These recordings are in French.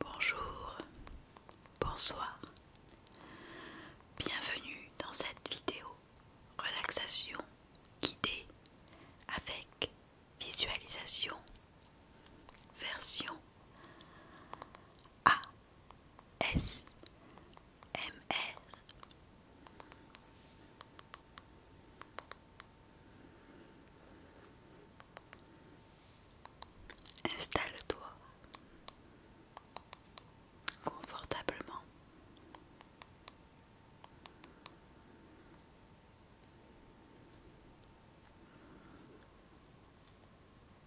Bonjour, bonsoir, bienvenue dans cette vidéo relaxation guidée avec Visualisation. Version. A. S. M. R. Installe-toi confortablement.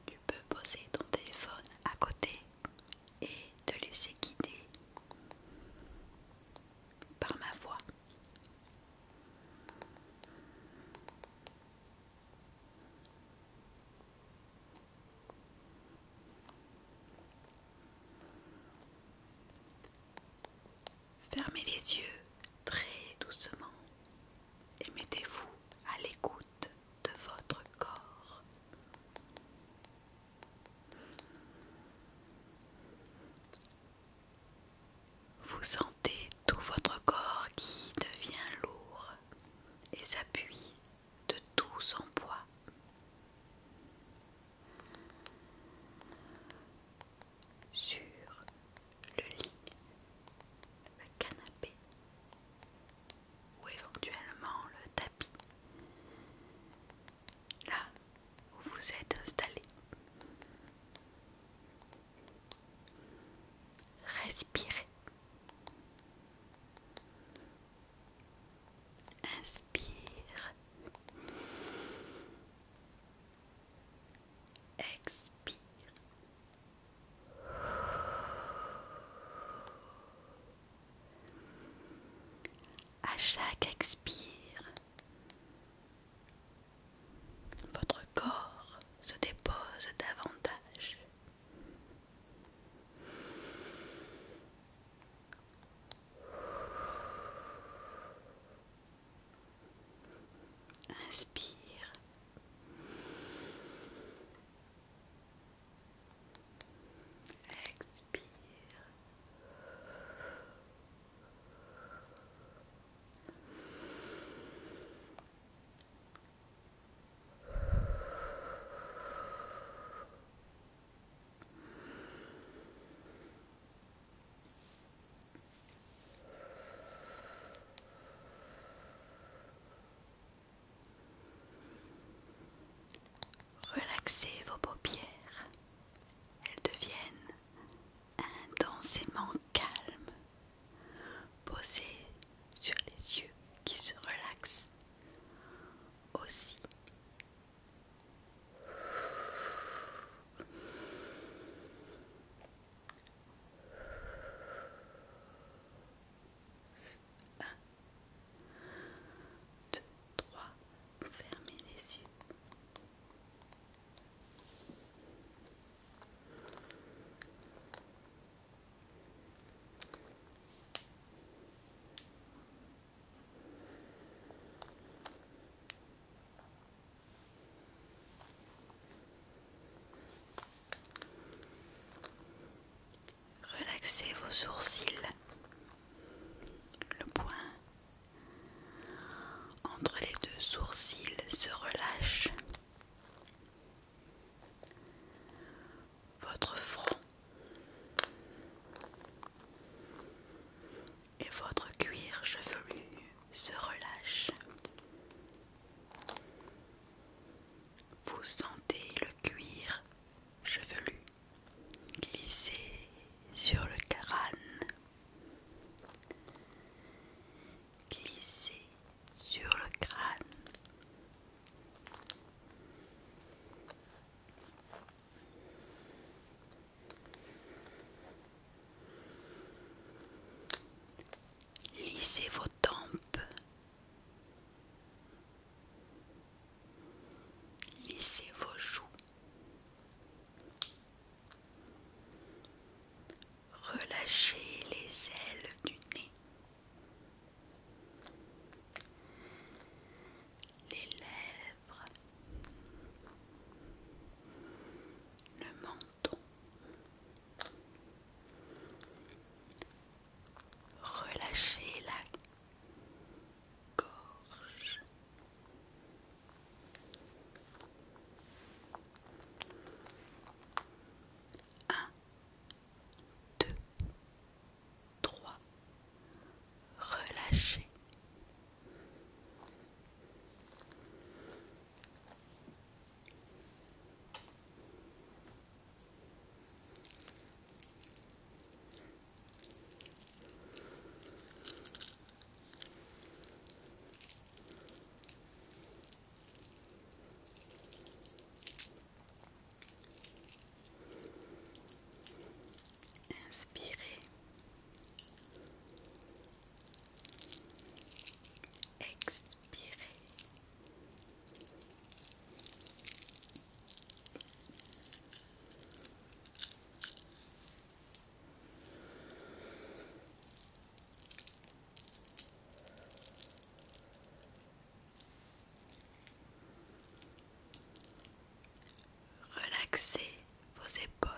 Tu peux poser ton téléphone à côté et te laisser guider par ma voix. Fermez les yeux très doucement et mettez-vous à l'écoute de votre corps. Vous sentez tout votre corps qui devient lourd et s'appuie de tout son poids sur le lit, le canapé ou éventuellement le tapis, là où vous êtes installé. Respirez. Inspire. Expire. À chaque expire, votre corps se dépose davantage. Inspire. Expire. Relaxez vos paupières, elles deviennent intensément calmes, posées sur les yeux qui se relaxent aussi 1, trois, trois, fermez les yeux. Relaxez vos sourcils, le point entre les deux sourcils se relâche. Votre front, et votre cuir chevelu se relâche. Vous sentez le cuir chevelu glisser sur le crâne, glisser sur le crâne. Lissez vos tempes. Lissez vos joues. Relâchez les ailes du nez. Les lèvres le menton relâchez la gorge 1 2 3 relâchez Inspirez Expirer Relaxer vos épaules.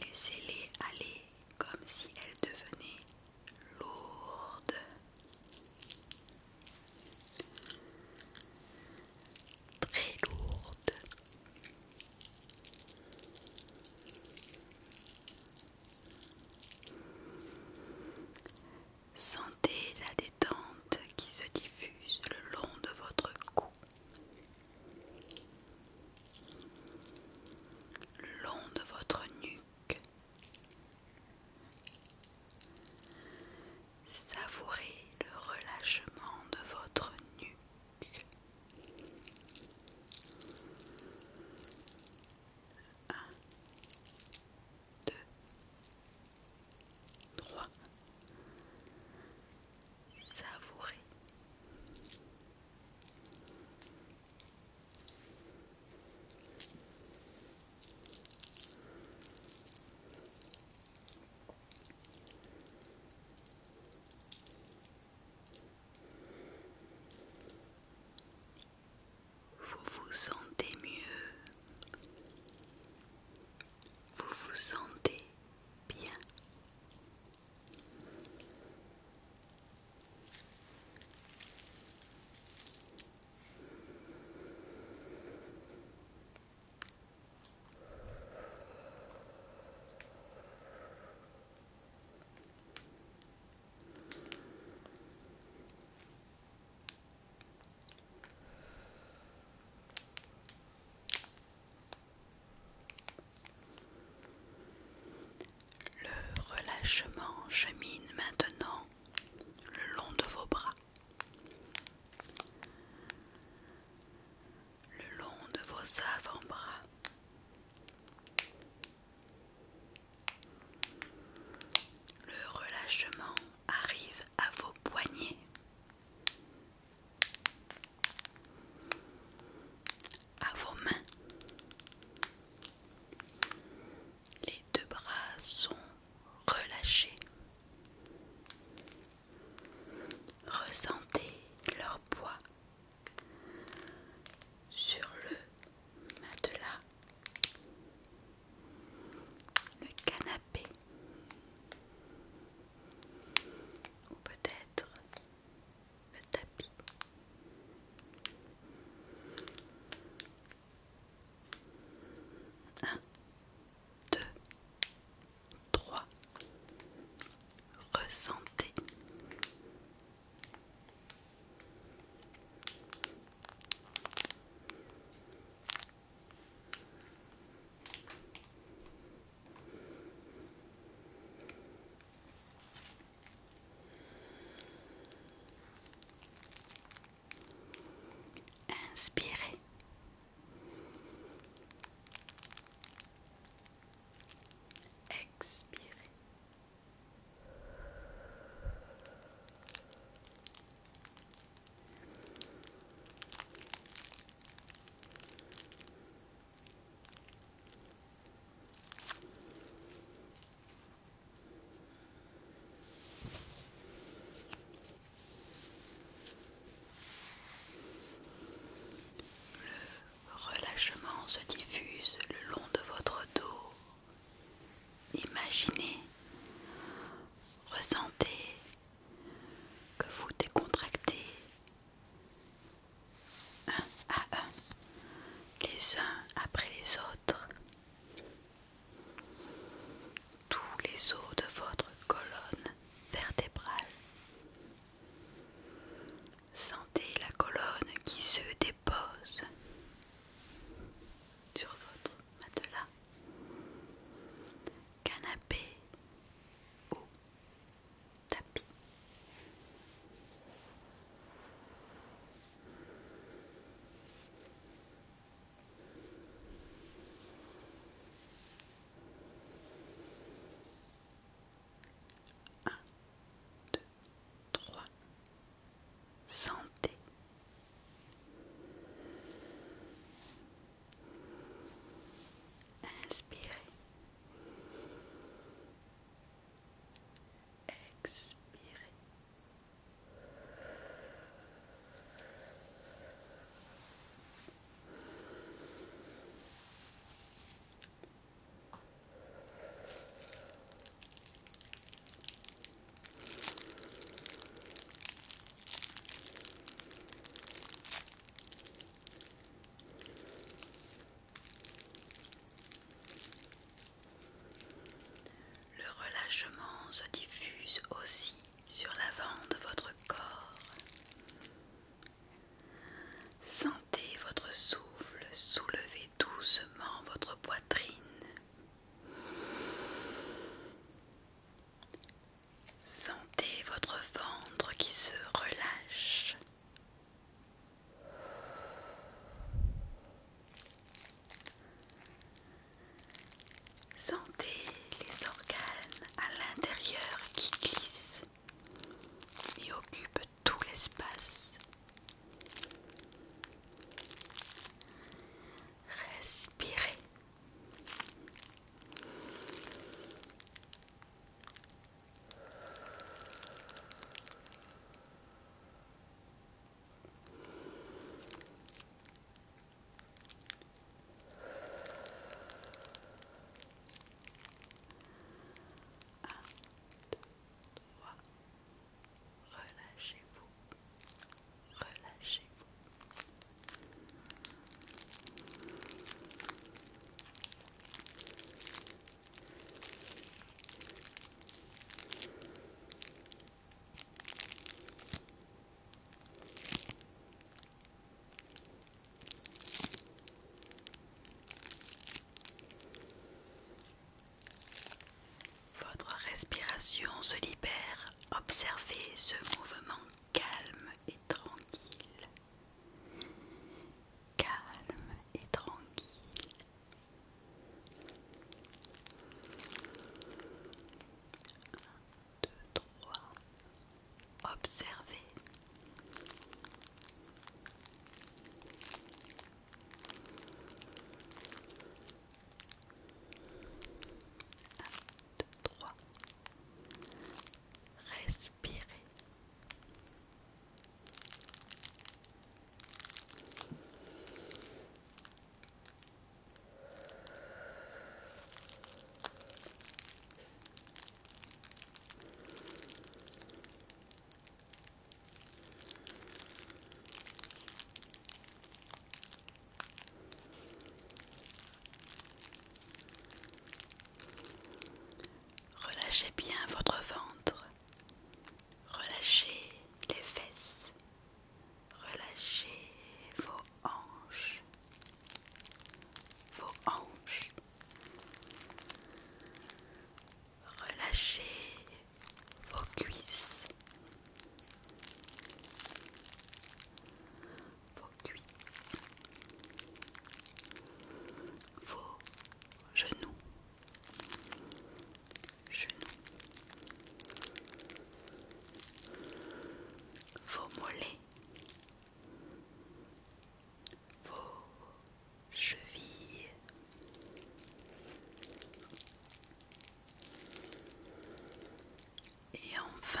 Laissez-les aller comme si elles devenaient lourdes. Très lourdes. Sentez la détente qui se diffuse le long de votre cou, le long de votre nuque. Savourez le relâchement de votre nuque. 2, 3. Savourer. Vous vous sentez mieux, vous vous sentez bien. Le relâchement chemine maintenant le long de vos bras, le long de vos avant-bras. Le relâchement arrive à vos poignets, à vos mains. Les deux bras sont relâchés. Ressentez leur poids sur le matelas, le canapé ou peut-être le tapis. 1, 2, 3. Ressentez. Inspirez. Expirez. Le relâchement se diffuse le long de votre dos. Imaginez, ressentez que vous décontractez un à un, les uns après les autres, tous les os de votre colonne vertébrale. Sentez la colonne qui se dépose sur votre matelas. Canapé ou tapis. Un, deux, trois. Santé. Inspirez. Expirez. Le relâchement se diffuse aussi sur l'avant de votre corps. Sentez votre souffle soulever doucement votre poitrine. Sentez votre ventre qui se relâche. Sentez les organes à l'intérieur qui glissent et occupent tout l'espace. Respirez Relâchez-vous, relâchez-vous, votre respiration se libère. Observez ce mouvement calme et tranquille calme et tranquille 1, 2, 3 observer 1, 2, 3 respirer. Relâchez bien votre ventre. Relâchez les fesses. Relâchez vos hanches. Vos hanches. Relâchez vos cuisses vos cuisses, vos genoux, genoux, vos mollets, vos chevilles. Et enfin,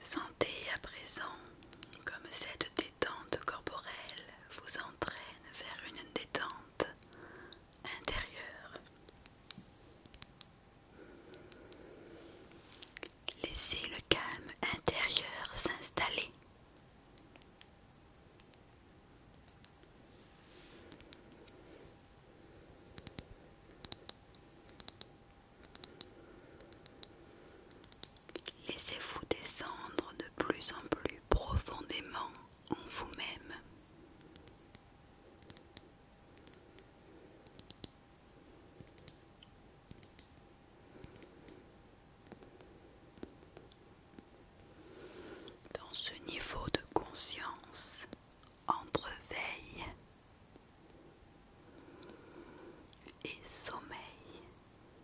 Sentez à présent comme cette Dente corporelle vous entraîne vers une détente intérieure. Laissez le calme intérieur s'installer. Laissez-vous descendre de plus en plus profondément en vous-même. Dans ce niveau de conscience, entre veille et sommeil,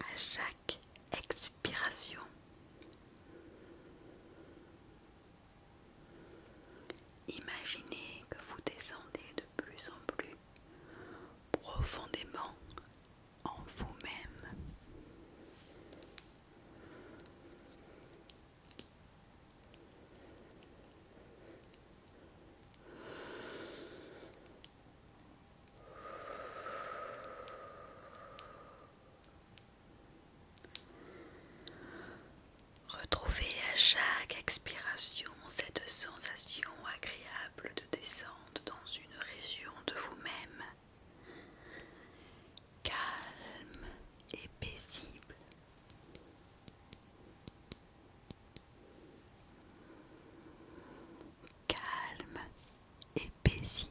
À chaque expiration, imaginez que vous descendez de plus en plus profondément en vous-même. Retrouvez à chaque expiration cette sensation agréable de descente dans une région de vous-même, calme et paisible calme et paisible.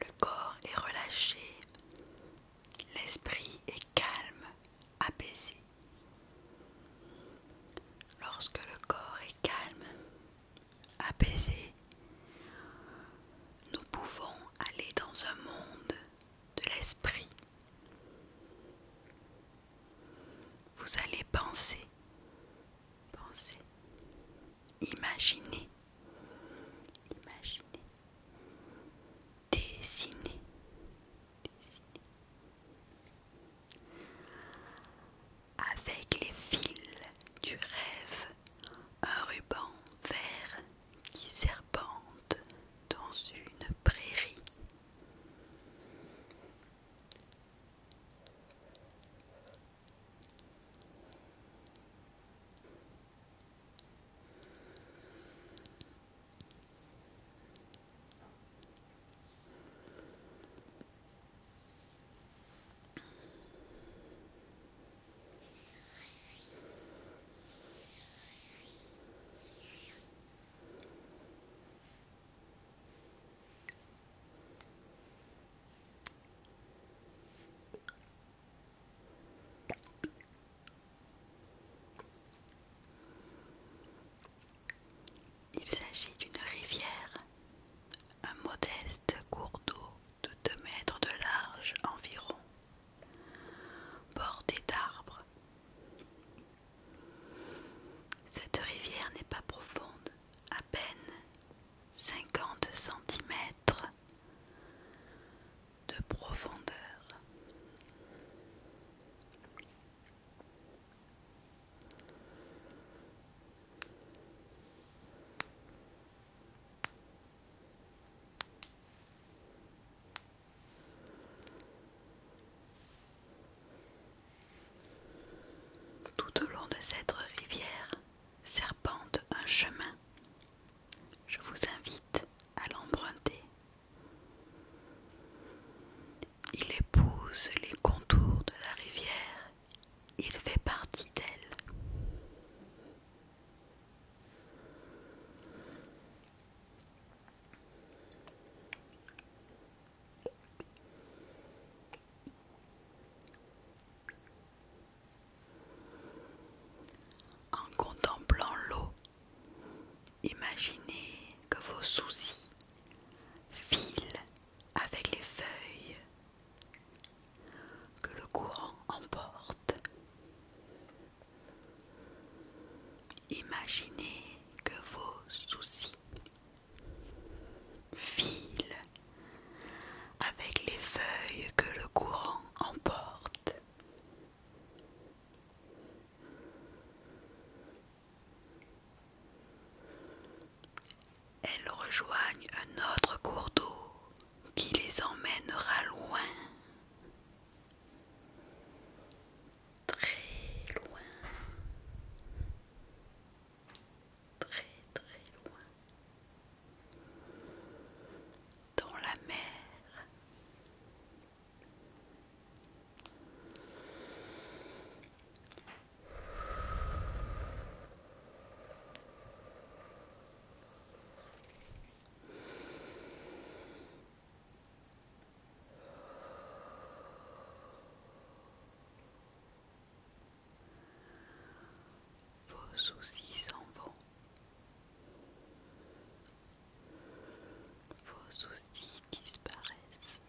Le corps est relâché, l'esprit est calme, apaisé. Lorsque le corps est calme, apaisé, nous pouvons aller dans un monde de l'esprit vous allez penser, penser, imaginer, imaginer, dessiner, dessiner. Avec les fils du rêve, un ruban vert qui serpente dans une prairie. Il s'agit d'une rivière, un modeste cours d'eau de 2 mètres de large environ, bordée d'arbres. Cette rivière n'est pas profonde, à peine cinquante centimètres de profondeur. Tout au long de cette rivière serpente un chemin. Je vous invite à l'emprunter. Il épouse les contours de la rivière. Il fait partie d'elle. En contemplant l'eau, imaginez que vos soucis filent avec les feuilles que le courant emporte Imaginez que vos soucis filent avec les feuilles que le courant emporte. Elles rejoignent un autre cours d'eau qui les emmènera loin très loin, très très loin, dans la mer. Vos soucis s'en vont. Vos soucis disparaissent.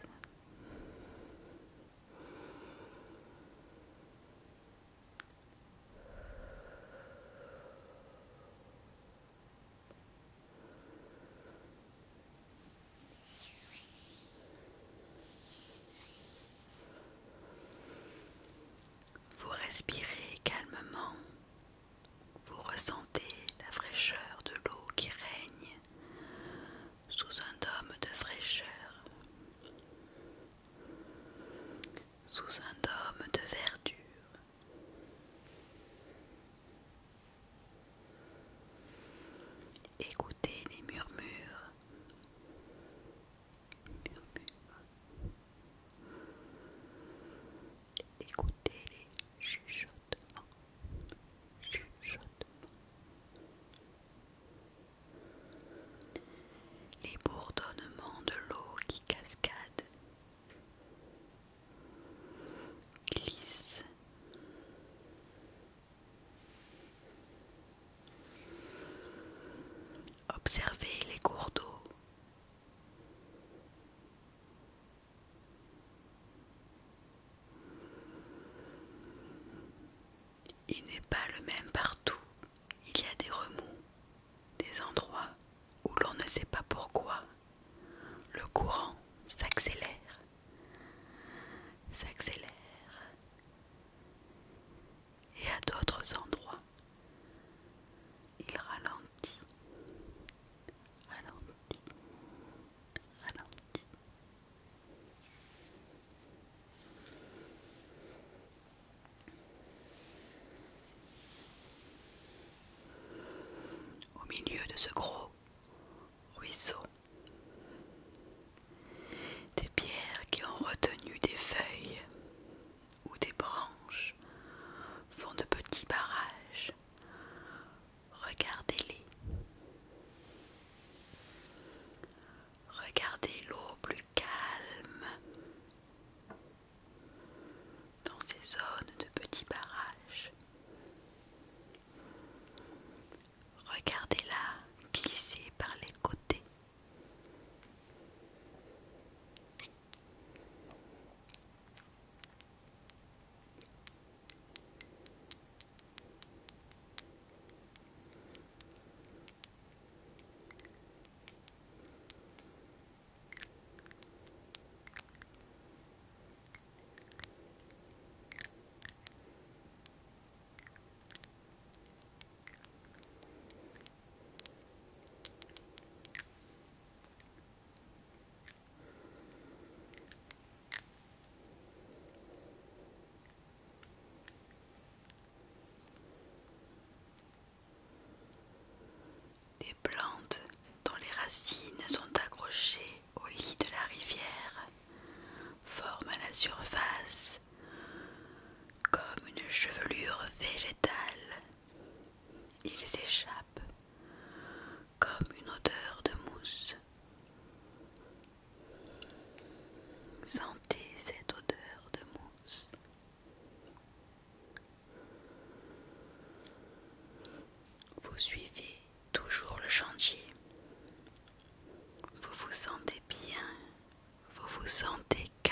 Vous respirez calmement, vous ressentez la fraîcheur de l'eau qui règne sous un dôme de fraîcheur, sous un dôme de verdure. Écoutez les murmures. Écoutez les Chuchotements. Les bourdonnements de l'eau qui cascade observez les cours d'eau il n'est pas le même partout. Il y a des remous, des endroits où l'on ne sait pas pourquoi le courant s'accélère, s'accélère. Et à d'autres endroits, il ralentit, ralentit, ralentit. Au milieu de ce gros ruisseau. Des pierres qui ont retenu des feuilles ou des branches font de petits barrages. Regardez-les. Regardez l'eau plus calme dans ces zones de petits barrages. Regardez-la glisser par les côtés. Des plantes dont les racines sont accrochées au lit de la rivière, forment à la surface comme une chevelure végétale. Ils échappent comme une odeur de mousse. Sentez cette odeur de mousse. Vous suivez Toujours le chantier. Vous vous sentez bien, vous vous sentez calme.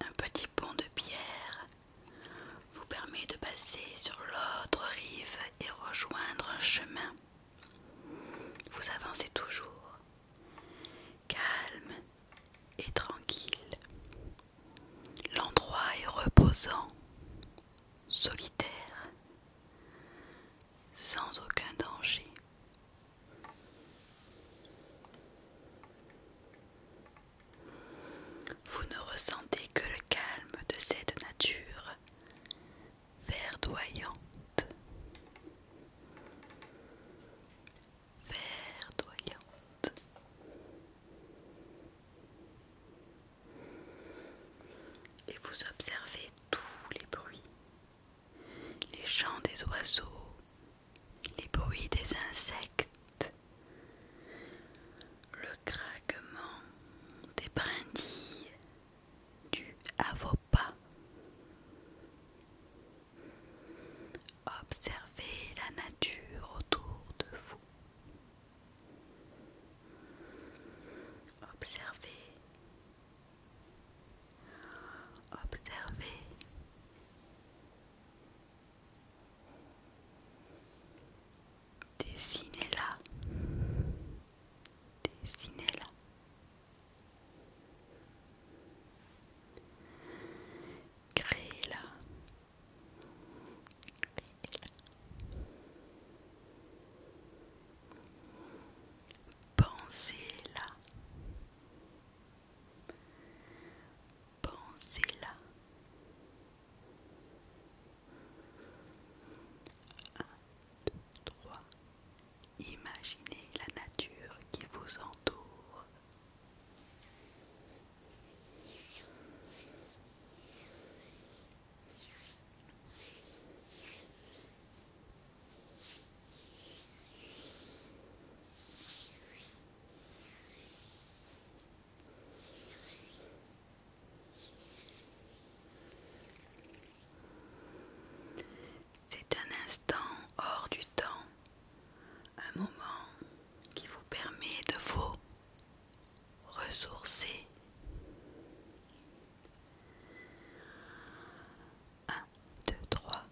Un petit pont de pierre vous permet de passer sur l'autre rive et rejoindre un chemin. Vous avancez toujours, calme et tranquille. L'endroit est reposant, solitaire, sans aucun danger. Vous ne ressentez que le calme de cette nature verdoyante. Verdoyante. Et vous observez tous les bruits, les chants des oiseaux, les bruits des insectes, le craquement des brindilles du pas. Observez la nature autour de vous. Observez observez. Dessinez-la. Dessinez-la. Créez-la. Créez-la. Pensez-la. Pensez-là 1, 2, 3 Imaginez la nature qui vous entoure c'est un instant hors du temps, un moment qui vous permet de vous ressourcer. Un, deux, trois,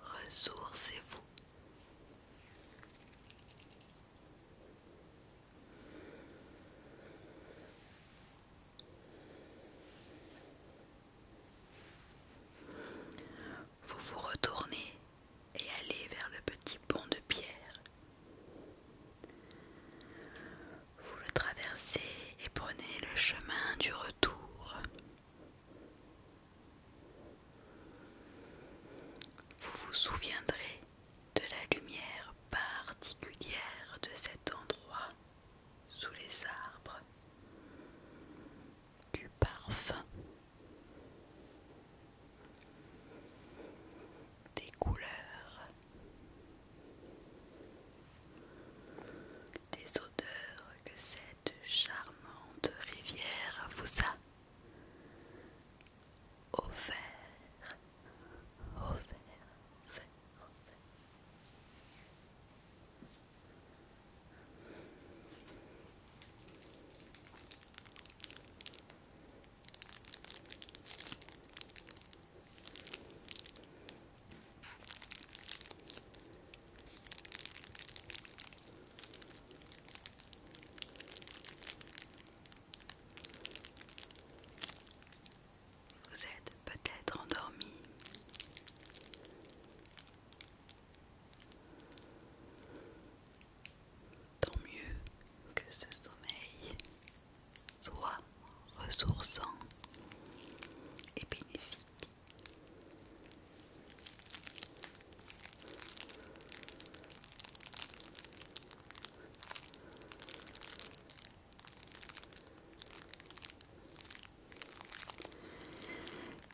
Ressourcez-vous. Vous vous retournez et allez vers le petit pont de pierre. Vous le traversez et prenez le chemin du retour. Vous vous souviendrez de la lumière particulière de cet endroit sous les arbres, du parfum, des couleurs, des de que cette charmante rivière vous a offert. offert, offert, offert. Vous êtes peut-être endormi. Tant mieux que ce sommeil soit ressourçant et bénéfique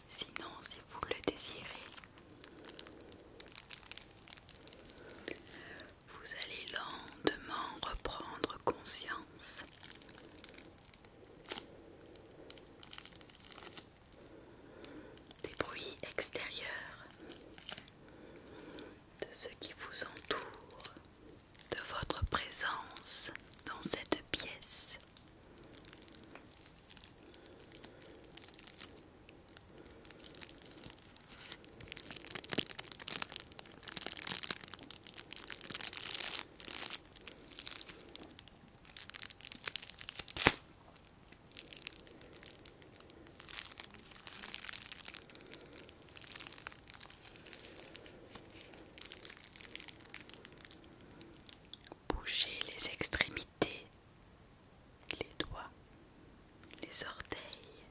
Sinon, si vous le désirez, vous allez lentement reprendre conscience des bruits extérieurs, de ce qui vous entoure, de votre présence dans cette pièce. Bougez les extrémités, les doigts, les orteils,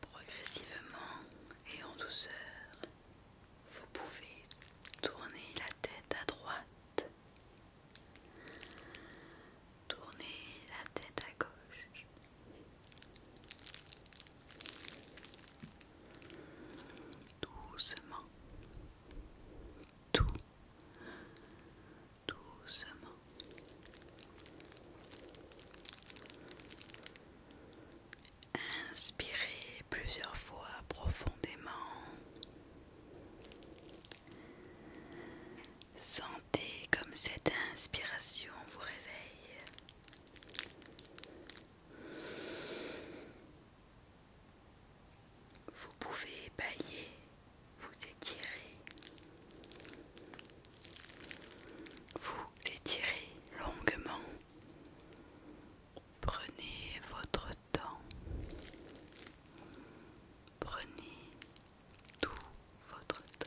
progressivement et en douceur vous pouvez tourner la tête à droite, tourner la tête à gauche. Doucement, tout, doucement. Inspirez plusieurs fois profondément. Sentez comme cette inspiration vous réveille. Vous pouvez bailler, vous étirer. Vous étirez longuement. Prenez votre temps Prenez tout votre temps.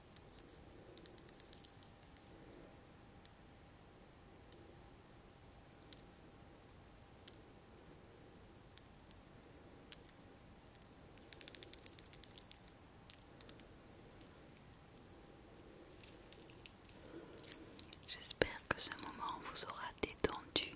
J'espère que ce moment vous aura détendu.